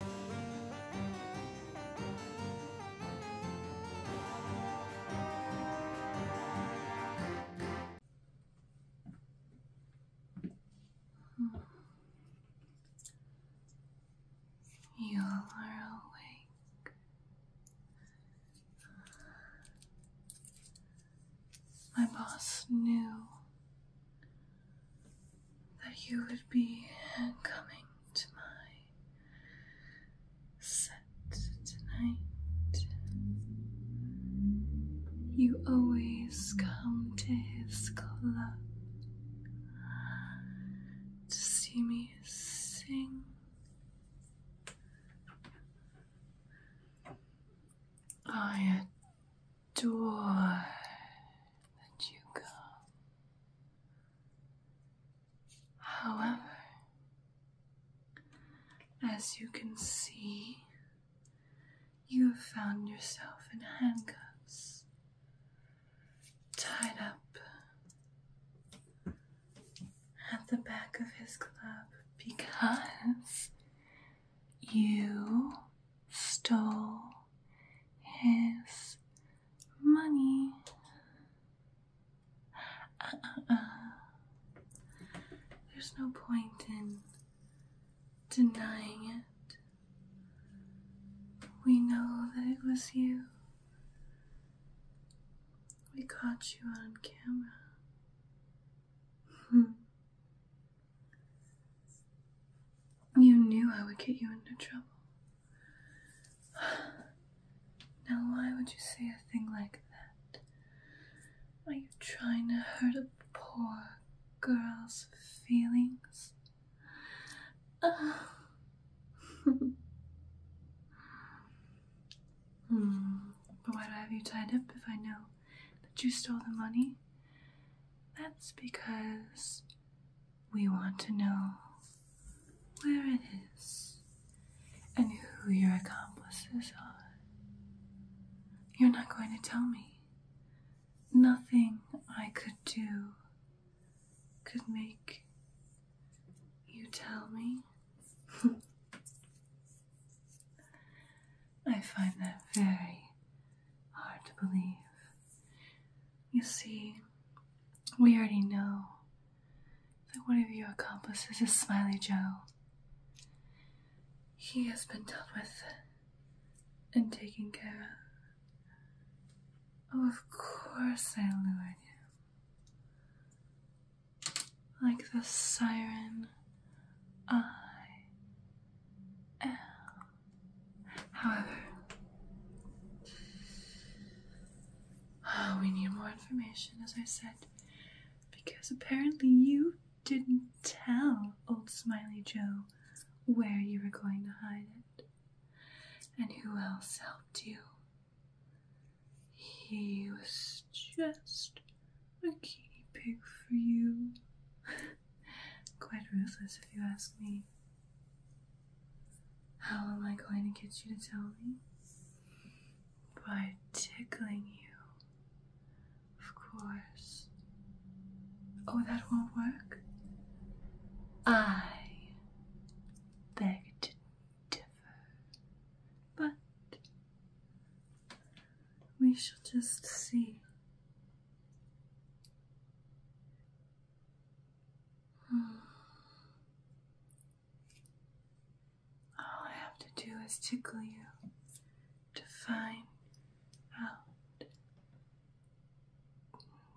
You are awake. My boss knew that you would be coming to my set tonight. You always come to his club to see me sing. I door that you go. However, as you can see, you have found yourself in handcuffs, tied up at the back of his club because you stole his money. Uh, uh, uh. There's no point in denying it. We know that it was you. We caught you on camera. Hmm. You knew I would get you into trouble. Now, why would you say a thing like that? Are you trying to hurt a poor girl's feelings? Hmm. But why do I have you tied up if I know? that you stole the money, that's because we want to know where it is and who your accomplices are. You're not going to tell me. Nothing I could do could make you tell me. I find that very hard to believe. You see, we already know that one of your accomplices is Smiley Joe. He has been dealt with and taken care of. of course I lured him. Like the siren, I am. However, uh, we need more information, as I said, because apparently you didn't tell old Smiley Joe where you were going to hide it. And who else helped you? He was just a guinea pig for you. Quite ruthless, if you ask me. How am I going to get you to tell me? By tickling you. Of course. Oh, that won't work? I beg to differ but we shall just see. All I have to do is tickle you to find out.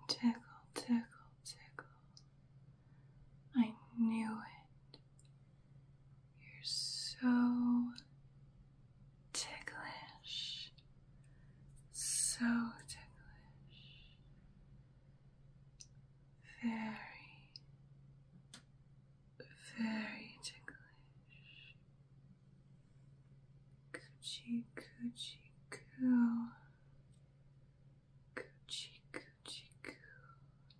Tickle, tickle, tickle. I knew it. You're so ticklish, so ticklish, very, very ticklish. Coochie, coochie, coo. Coochie, coo.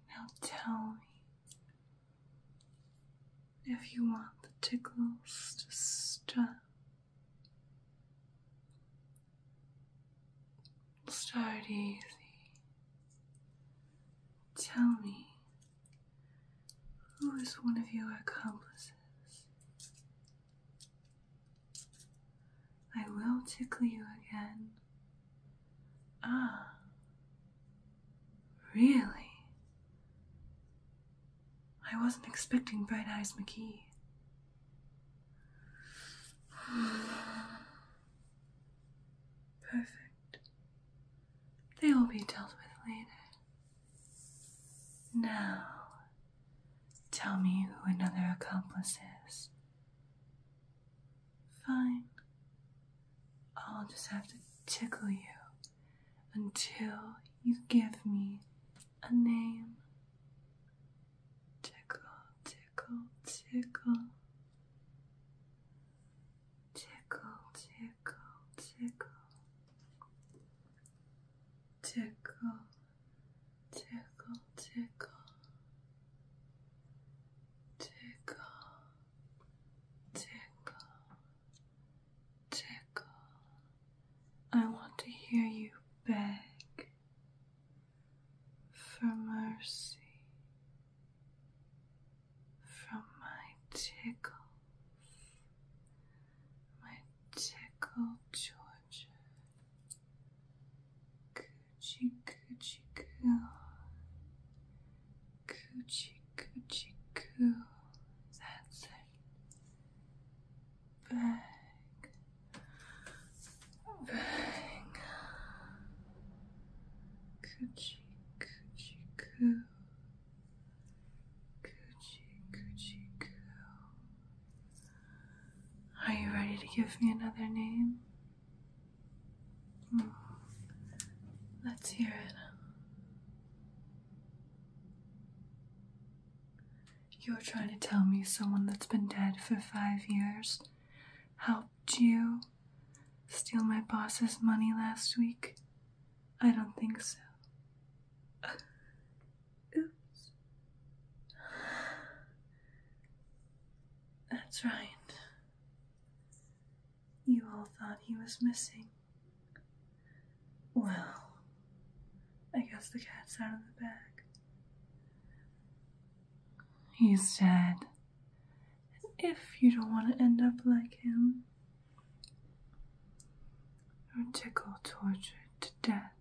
Now tell me if you want the tickles to stop. Start easy. Tell me, who is one of your accomplices? I will tickle you again. Ah, really? I wasn't expecting Bright Eyes McGee. Perfect. They will be dealt with later. Now, tell me who another accomplice is. Fine. I'll just have to tickle you until you give me a name. Tickle, tickle, tickle. Tickle, tickle, tickle. Tickle, tickle, tickle, tickle, tickle, tickle. I want to hear you beg for mercy from my tickle, my tickle Georgia. Coochie, coochie, coo. Coochie, coochie, coo. That's it. Bang. Bang. Coochie, coochie, coo. Coochie, coochie, coo. Are you ready to give me another name? Hmm. Let's hear it. You're trying to tell me someone that's been dead for five years helped you steal my boss's money last week? I don't think so. Oops. That's right. You all thought he was missing. Well, I guess the cat's out of the bag. He's dead. And if you don't want to end up like him, or tickled tortured to death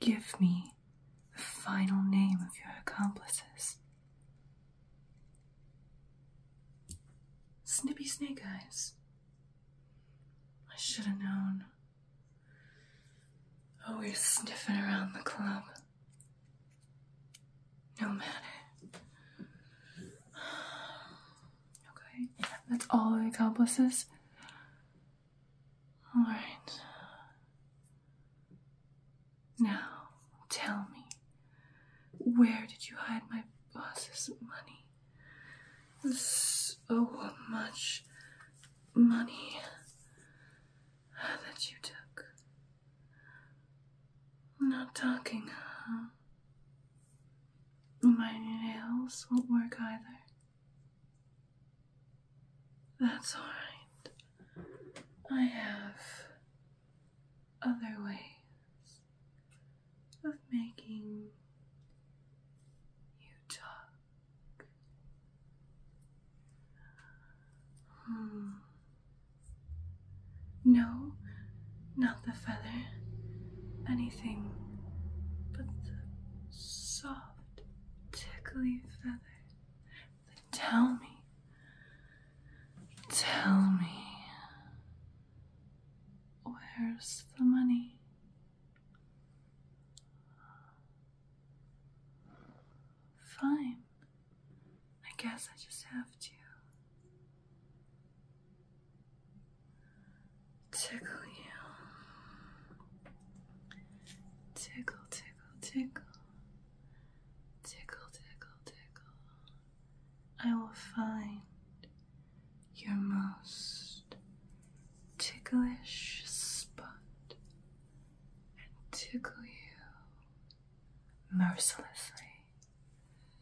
Give me the final name of your accomplices. Snippy Snake Eyes. I should have known. Always sniffing around the club. No matter. Okay, that's all your accomplices. All right. Now, tell me, where did you hide my boss's money? So much money that you took. I'm not talking, huh? My nails won't work either. That's alright. I have other ways of making you talk. Hmm. No, not the feather, anything but the soft, tickly feather. Then tell me, tell me, where's the money? Fine. I guess I just have to tickle you. Tickle, tickle, tickle. Tickle, tickle, tickle. I will find your most ticklish spot and tickle you mercilessly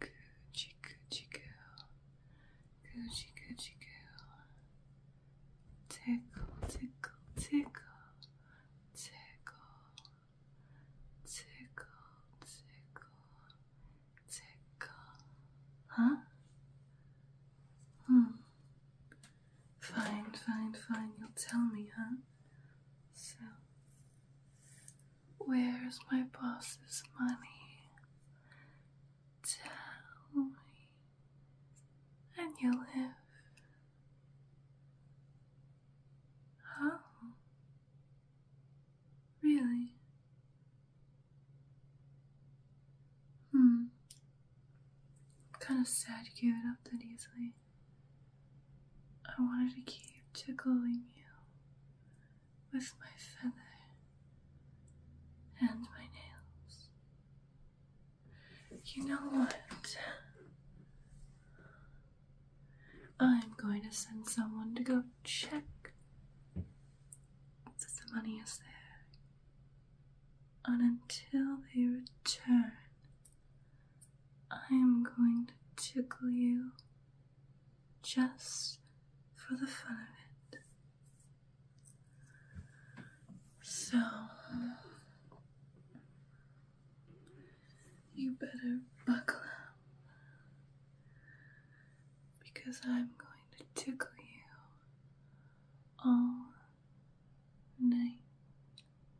Gucci, Gucci girl. Gucci, Gucci girl. Tickle, tickle, tickle. Tickle. Tickle, tickle. Tickle. Huh? Hmm. Fine, fine, fine. You'll tell me, huh? So. Where's my boss's money? Tell me, and you'll live. Oh, really? Hmm. Kind of sad to give it up that easily. I wanted to keep tickling you with my feather and my nails. You know what? I'm going to send someone to go check if the money is there. And until they return, I am going to tickle you just for the fun of it. So, you better buckle up because I'm going to tickle you all night